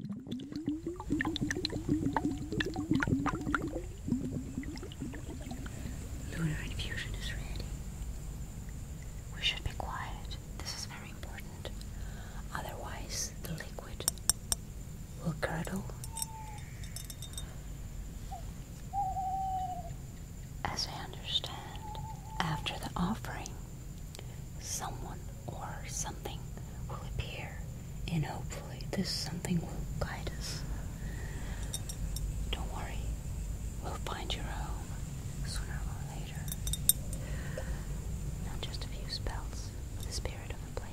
Lunar infusion is ready. We should be quiet. This is very important. Otherwise, the liquid will curdle. As I understand, after the offering, someone or something will appear, and hopefully, this something will guide us. Don't worry, we'll find your home sooner or later. Not just a few spells, but the spirit of the place.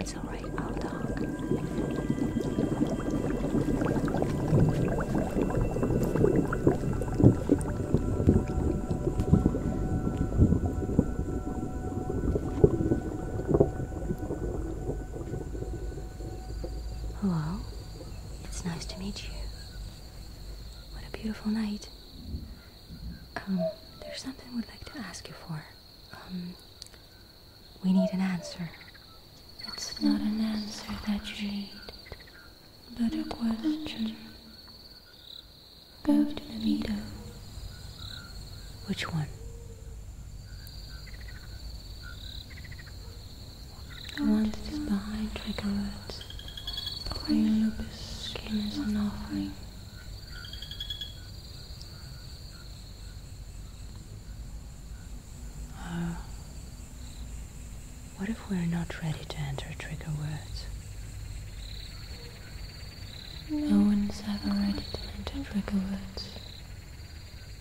It's alright, I'll talk. Hello? It's nice to meet you. What a beautiful night. Um, there's something we'd like to ask you for. Um, we need an answer. It's not an answer that you need, but a question. Go to the meadow. Which one? The one that is behind words. the green lupus skin is an offering. Uh, what if we're not ready to enter trigger words? No one's ever ready to enter trigger words.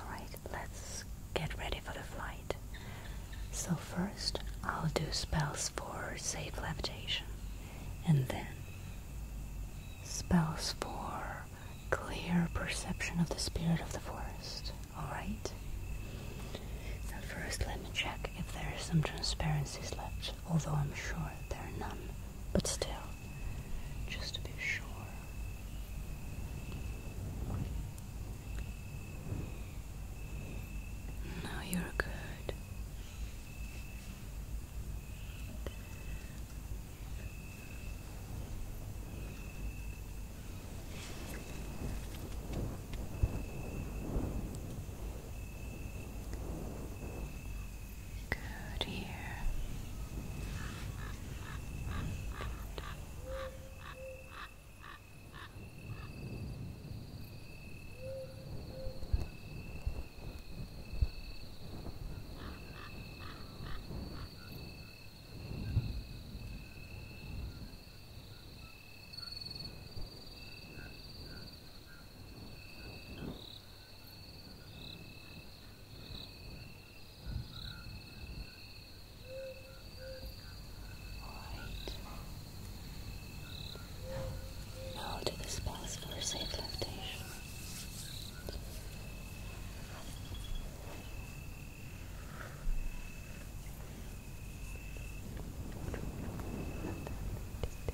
Alright, let's get ready for the flight. So, first, I'll do spells for safe levitation, and then spells for clear perception of the spirit of the forest. Alright? Now, first, let me check if there are some transparencies left, although I'm sure there are none but still, just to be sure. Now you're good. Good here. Right. Now to the spouse for safe lactation.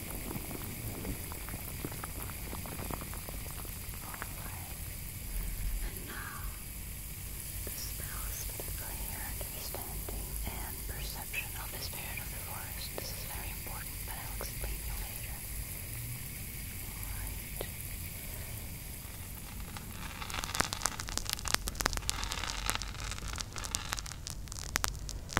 And now, the spells understanding and perception of the spirit of the forest. is very important, but I'll explain you later.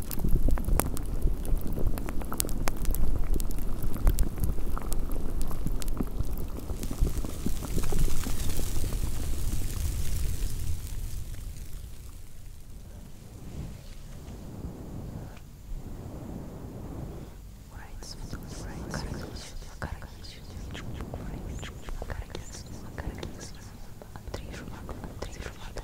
Antrei jumătate, antrei jumătate,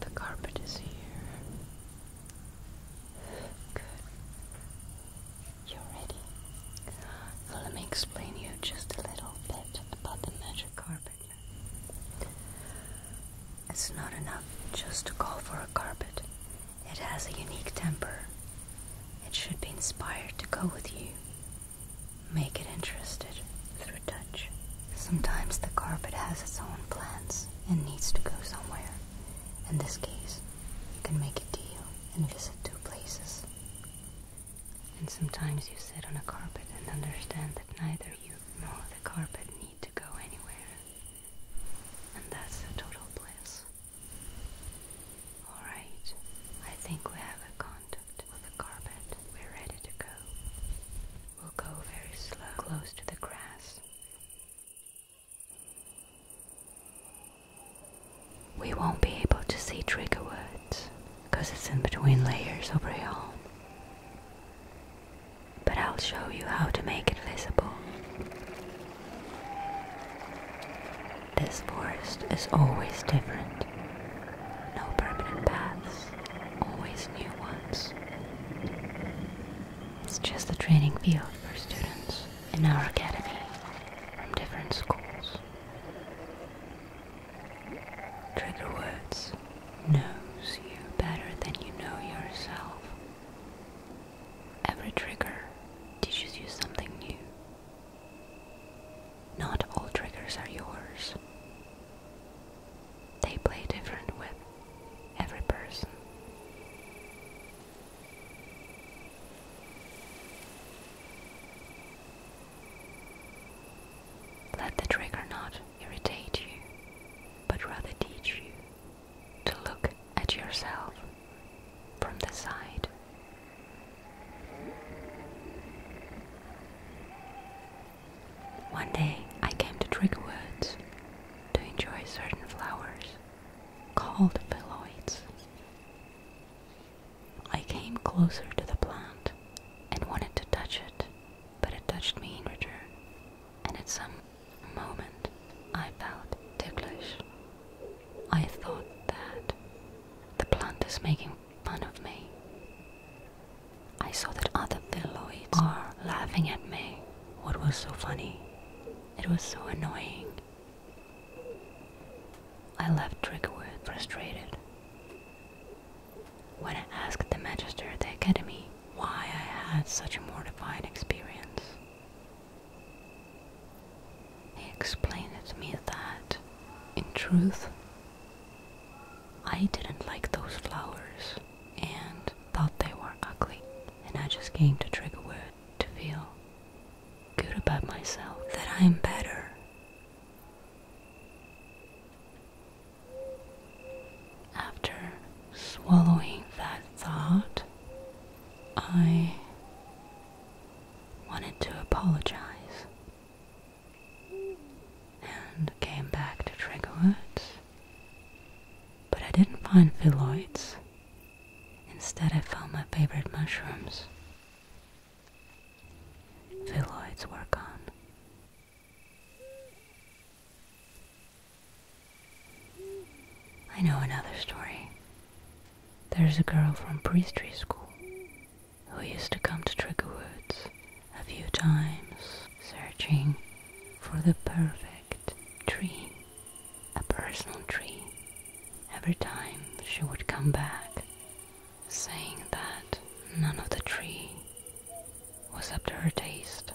the carpet is here. Good. You're ready. let me explain you just a little bit about the magic carpet. It's not enough just to call for a carpet. It has a unique temper. It should be inspired to go with you. Make it interested through touch. Sometimes the carpet has its own plans and needs to go somewhere. In this case, you can make a deal and visit two places. And sometimes you sit on a carpet and understand that neither you nor the carpet need to go anywhere. And that's a total bliss. Alright, I think we have a contact with the carpet. We're ready to go. We'll go very slow, close to the grass we won't be able to see trigger words because it's in between layers of rayon. But I'll show you how to make it visible. This forest is always different. No permanent paths, always new ones. It's just a training field for students in our academy from different schools. Trigger Words knows you better than you know yourself. Every trigger teaches you something new. Not all triggers are yours. They play different with every person. Let the trigger not irritate you, but rather teach you to look at yourself from the side. One day I came to trigger Woods to enjoy certain flowers called phylloids. I came closer to the plant and wanted to touch it, but it touched me in return, and at some moment I felt ticklish. I thought that the plant is making fun of me. I saw that other phylloids are laughing at me. What was so funny? It was so annoying. I left Trickwood frustrated. When I asked the magister at the academy why I had such a mortifying experience, he explained it to me that, in truth, I didn't like those flowers and thought they were ugly, and I just came to Triggerwood to feel good about myself, that I am better. After swallowing that thought, I wanted to apologize and came back to trigger But I didn't find phylloids. Instead, I found my favorite mushrooms the lights were gone. I know another story. There's a girl from priestry school who used to come to Trigger Woods a few times searching for the perfect tree, a personal tree Every time she would come back, saying that none of the tree was up to her taste.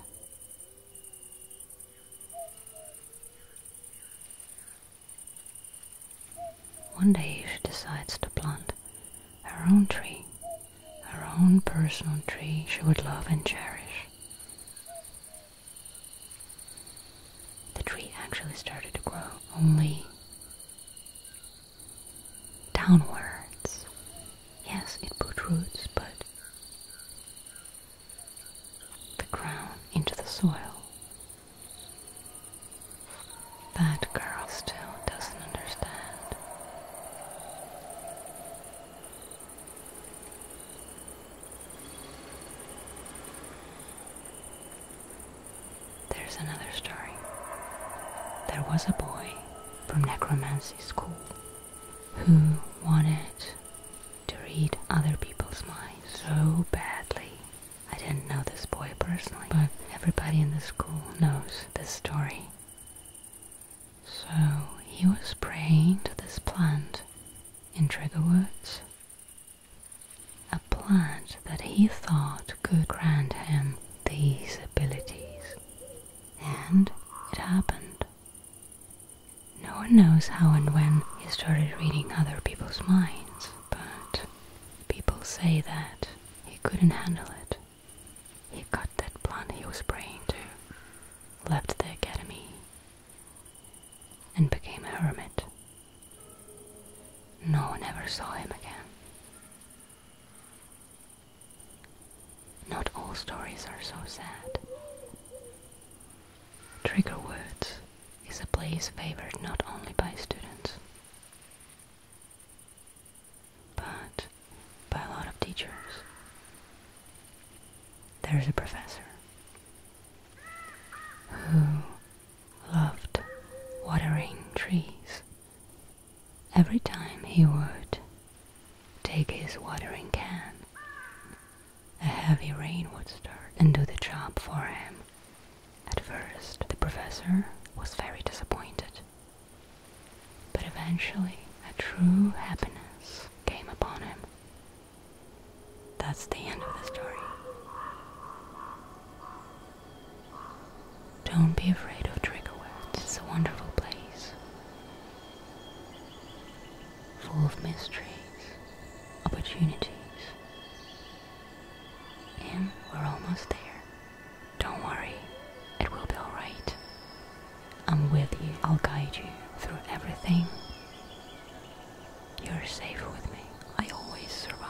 One day she decides to plant her own tree, her own personal tree she would love and cherish. The tree actually started to grow only downwards. Yes, it put roots, but the ground into the soil. That girl still doesn't understand. There's another story. There was a boy from necromancy school who wanted to read other people's minds so badly. I didn't know this boy personally, but everybody in the school knows this story. So he was praying to this plant in Trigger Woods a plant that he thought could grant him these abilities. And it happened. No one knows how and when he started reading other people's minds, but people say that he couldn't handle it. He cut that plant he was praying to, left the academy, and became a hermit. No one ever saw him again. Not all stories are so sad. Trigger Woods is a place favored not only by students, but by a lot of teachers. There's a professor who loved watering trees. Every time he would take his watering can, a heavy rain would start and do the job for him. At first, the professor was very disappointed, but eventually a true happiness came upon him. That's the end of the story. Don't be afraid of trigger it's a wonderful place. Full of mysteries, opportunities. And we're almost there. Don't worry, it will be alright. I'm with you, I'll guide you through everything you're safe with me. I always survive.